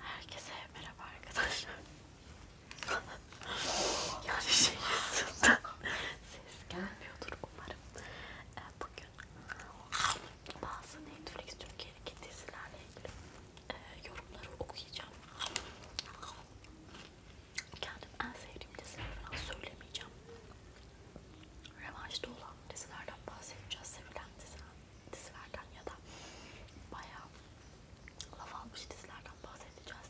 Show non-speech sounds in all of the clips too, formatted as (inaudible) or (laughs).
Herkese merhaba arkadaşlar. (laughs) yani şey yüzünden ses gelmiyordur umarım. Ee, bugün bazı Netflix Türkiye'deki dizilerle ilgili e, yorumları okuyacağım. Kendim en sevdiğim dizileri falan söylemeyeceğim. Revanşta olan dizilerden bahsedeceğiz, sevilen diziler dizilerden ya da bayağı laf almış dizilerden bahsedeceğiz.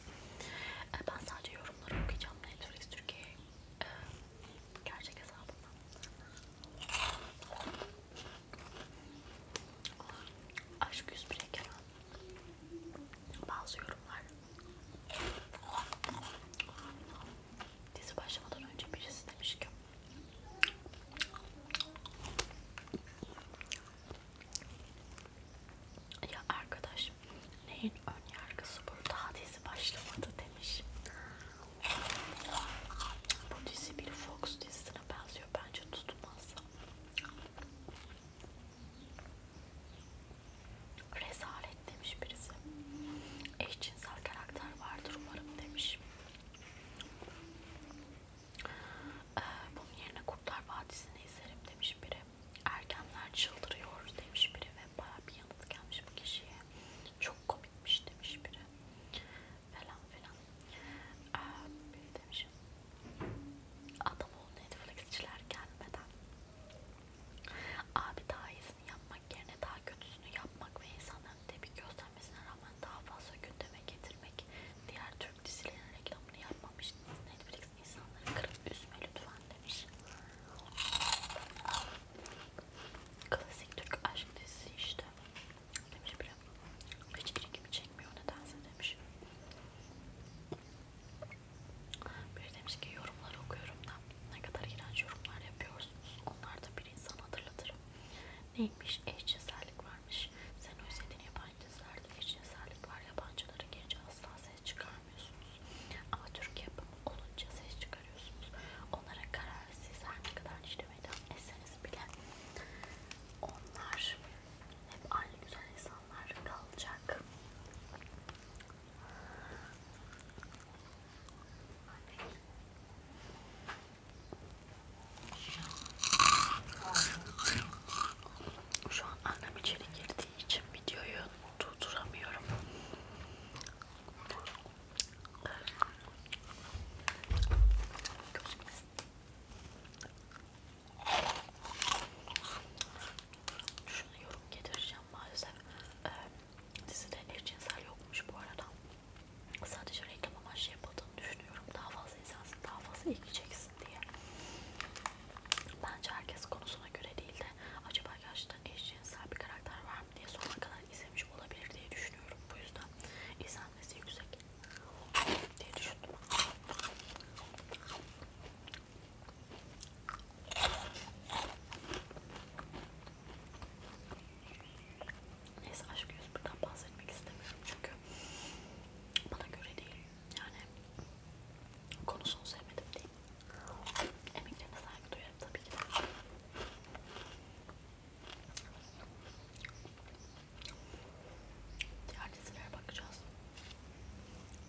E, ben sadece yorumları okuyacağım Netflix Türkiye e, gerçek hesabından. Aşk 101 Kenan bazı yorumlar dizi başlamadan önce birisi demiş ki ya arkadaş neyin ön yargısı bu daha dizi başlamadı demiş. Bu dizi bir Fox dizisine benziyor bence tutmaz. Rezalet demiş birisi. Eşcinsel karakter vardır umarım demiş. Ee, bunun yerine Kurtlar Vadisi'ni izlerim demiş biri. Ergenler çıldırıyor demiş biri ve baya bir yanıt gelmiş bu kişiye. Çok komikmiş demiş biri. Falan filan. Ee, biri demiş. Adam ol Netflix'çiler gelmeden. Abi daha iyisini yapma yapmak yerine daha kötüsünü yapmak ve insanların tepki göstermesine rağmen daha fazla gündeme getirmek diğer Türk dizilerinin reklamını yapmamış Netflix insanları kırıp üzme lütfen demiş. Klasik Türk aşk dizisi işte. Demiş biri. Hiç ilgimi çekmiyor nedense demiş. Biri demiş ki yorumları okuyorum da ne kadar iğrenç yorumlar yapıyorsunuz. Onlar da bir insan hatırlatır. Neymiş? Eşcinsellik varmış. Sen o istediğin yabancılarda eşcinsellik var. Yabancıları gelince asla ses çıkarmıyorsunuz. Ama Türk yapımı olunca ses çıkarıyorsunuz. Onlara karar siz her ne kadar işlemeden etseniz bile onlar hep aynı güzel insan olanlar kalacak. Şu an annem içeri girdiği için videoyu durduramıyorum. Gözümüz şunu yorum getireceğim maalesef ee, dizide eşcinsel yokmuş bu arada sadece reklam amaçlı yapıldığını düşünüyorum daha fazla insansın daha fazla ilgi çeksin diye bence herkes konusuna göre değil de acaba gerçekten eşcinsel bir karakter var mı diye sonuna kadar izlemiş olabilir diye düşünüyorum bu yüzden izlenmesi yüksek diye düşündüm Neyse aşk yüz buradan bahsetmek istemiyorum çünkü bana göre değil. Yani konusunu sevmedim değil. Emeklerine saygı duyarım tabii ki de. Diğer dizilere bakacağız.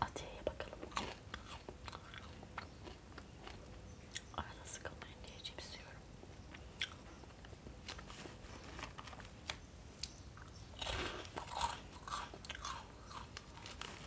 Atiye'ye bakalım. Arada sıkılmayın diye cips yiyorum.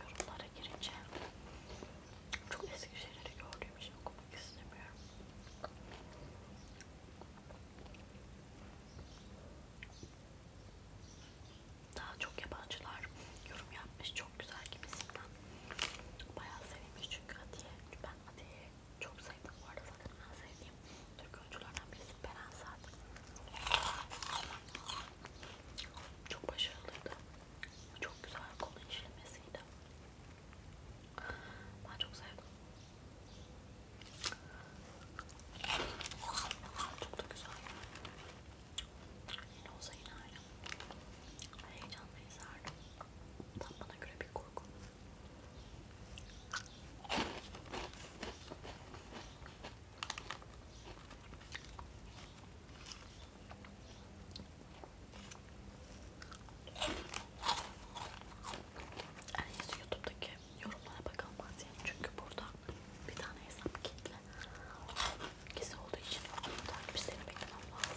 yorumlara girince çok eski şeyleri gördüğüm için okumak istemiyorum. Daha çok yabancılar yorum yapmış. Çok güzel gibisinden. Bayağı sevilmiş çünkü Atiye. Ben Atiye'yi çok sevdim. Bu arada zaten en sevdiğim Türk oyunculardan birisi Beren Saat. Çok başarılıydı. Çok güzel konu işlemesiydi. Ben çok sevdim. Çok da güzel. Yine olsa yine aynı. Heyecanla izlerdim. Tam bana göre bir korku. En iyisi YouTube'daki yorumlara bakalım Asiye. Çünkü burada bir tane hesap kitle. Gizli olduğu için takipçilerini beklemem lazım.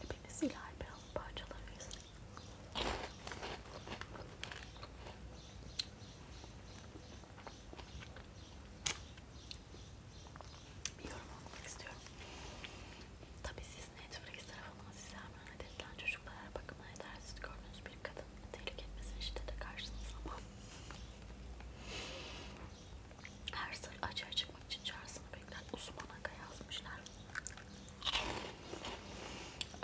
Hepiniz ilerleyen parçalarıyız. Bir yorum almak istiyorum. Tabii siz Netflix tarafından size emanet edilen çocuklara bakımına yetersiz gördüğünüz bir kadın tehlike etmesini şiddete karşısınız ama her sır açığa çıkmak için çağrısını bekler. Osman Aka yazmışlar.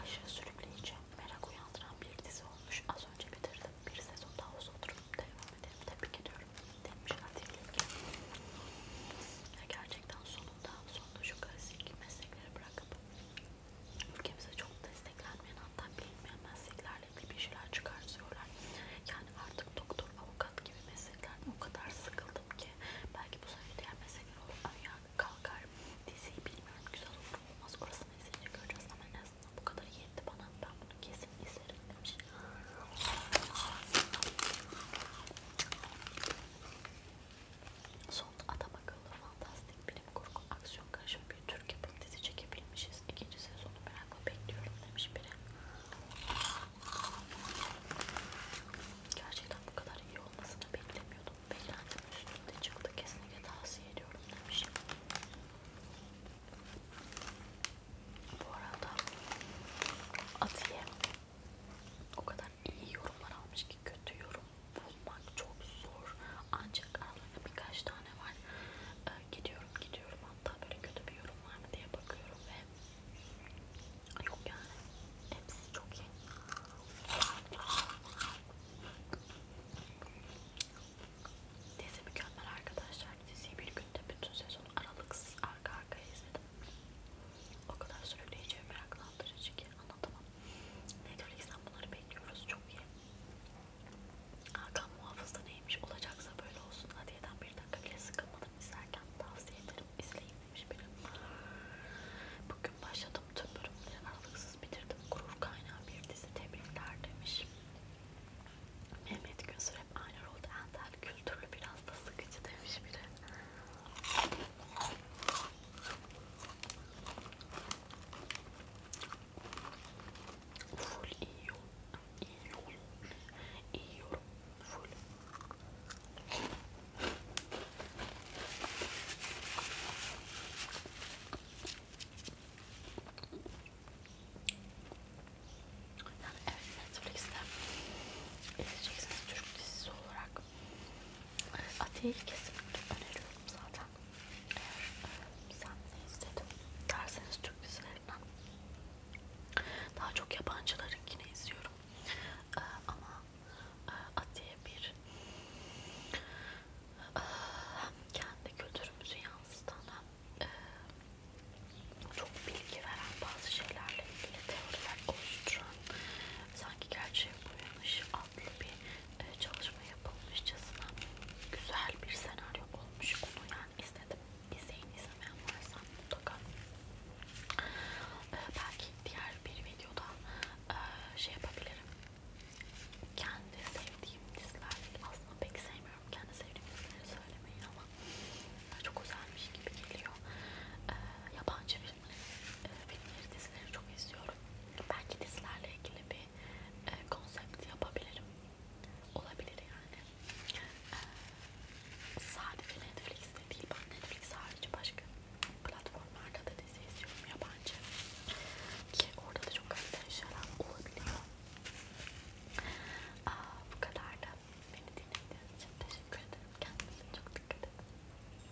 Aşağı sürükleyici, merak uyandıran bir dizi olmuş. Az önce bitirdim. Bir sezon daha uzun durup devam edelim. Tebrik ediyorum. Demişler dilekli. Gerçekten sonunda, sonunda şu klasik meslekleri bırakıp ülkemize çok desteklenmeyen hatta bilinmeyen meslekler adaletli bir şeyler çıkartıyorlar. Yani artık doktor, avukat gibi mesleklerden o kadar sıkıldım ki belki bu sene diğer meslekler ayağa kalkar. Diziyi bilmiyorum güzel olur olmaz orasını izleyince göreceğiz ama en azından bu kadar yetti bana. Ben bunu kesin izlerim demiş. Son adam akıllı fantastik bilim kurgu aksiyon karışımı bir Türk yapım dizi çekebilmişiz. Prens ikinci sezonu merakla bekliyorum demiş biri. Gerçekten bu kadar iyi olmasını beklemiyordum. Beklentim üstünde çıktı. Kesinlikle tavsiye ediyorum demiş. Bu arada Atiye o kadar iyi yorumlar almış ki kötü yorum bulmak çok zor. Ancak aralarında birkaç tane var. Ee, gidiyorum gidiyorum hatta böyle kötü bir yorum var mı diye bakıyorum ve yok yani hepsi çok iyi. Dizi mükemmel arkadaşlar. Diziyi bir günde bütün sezon aralıksız arka arkaya izledim. O kadar sürükleyici ve meraklandırıcı ki anlatamam. Netflix'ten bunları bekliyoruz. Çok iyi. Hakan muhafızda neymiş olacaksa böyle olsun Hadiye'den bir dakika bile sıkılmadım izlerken tavsiye ederim izleyin demiş biri bugün başladım tüm bölümleri aralıksız bitirdim gurur kaynağı bir dizi tebrikler demiş Mehmet Günsür hep aynı rolde entel kültürlü biraz da sıkıcı demiş biri full iyi yorum, iyi yorum, iyi yorum, full. Yani evet Netflix'te izleyeceksiniz Türk dizisi olarak Atiye'yi kesinlikle öneriyorum zaten eğer sen ne istedim derseniz Türk dizilerinden daha çok yabancılarınkini izliyorum ee, ama e, Atiye bir e, hem kendi kültürümüzü yansıtan hem e, çok bilgi veren bazı şeylerle ilgili teoriler oluşturan sanki gerçeğe uyanış adlı bir ee, çalışma yapılmışçasına güzel bir senaryo olmuş. Onu yani istedim. İzleyin izlemeyen varsa mutlaka. Ee, belki diğer bir videoda e, şey yapabilirim. Kendi sevdiğim diziler aslında pek sevmiyorum. Kendi sevdiğim dizileri söylemeyin ama e, çok güzelmiş gibi geliyor. Ee, yabancı filmleri, ee, dizileri çok izliyorum. Belki dizilerle ilgili bir e, konsept yapabilirim. Olabilir yani. E, sadece Netflix'te değil. Ben Netflix harici başka platformlarda da dizi izliyorum yabancı. Ki orada da çok kaliteli şeyler olabiliyor. Aa, bu kadar da beni dinlediğiniz için teşekkür ederim. Kendinize çok dikkat edin.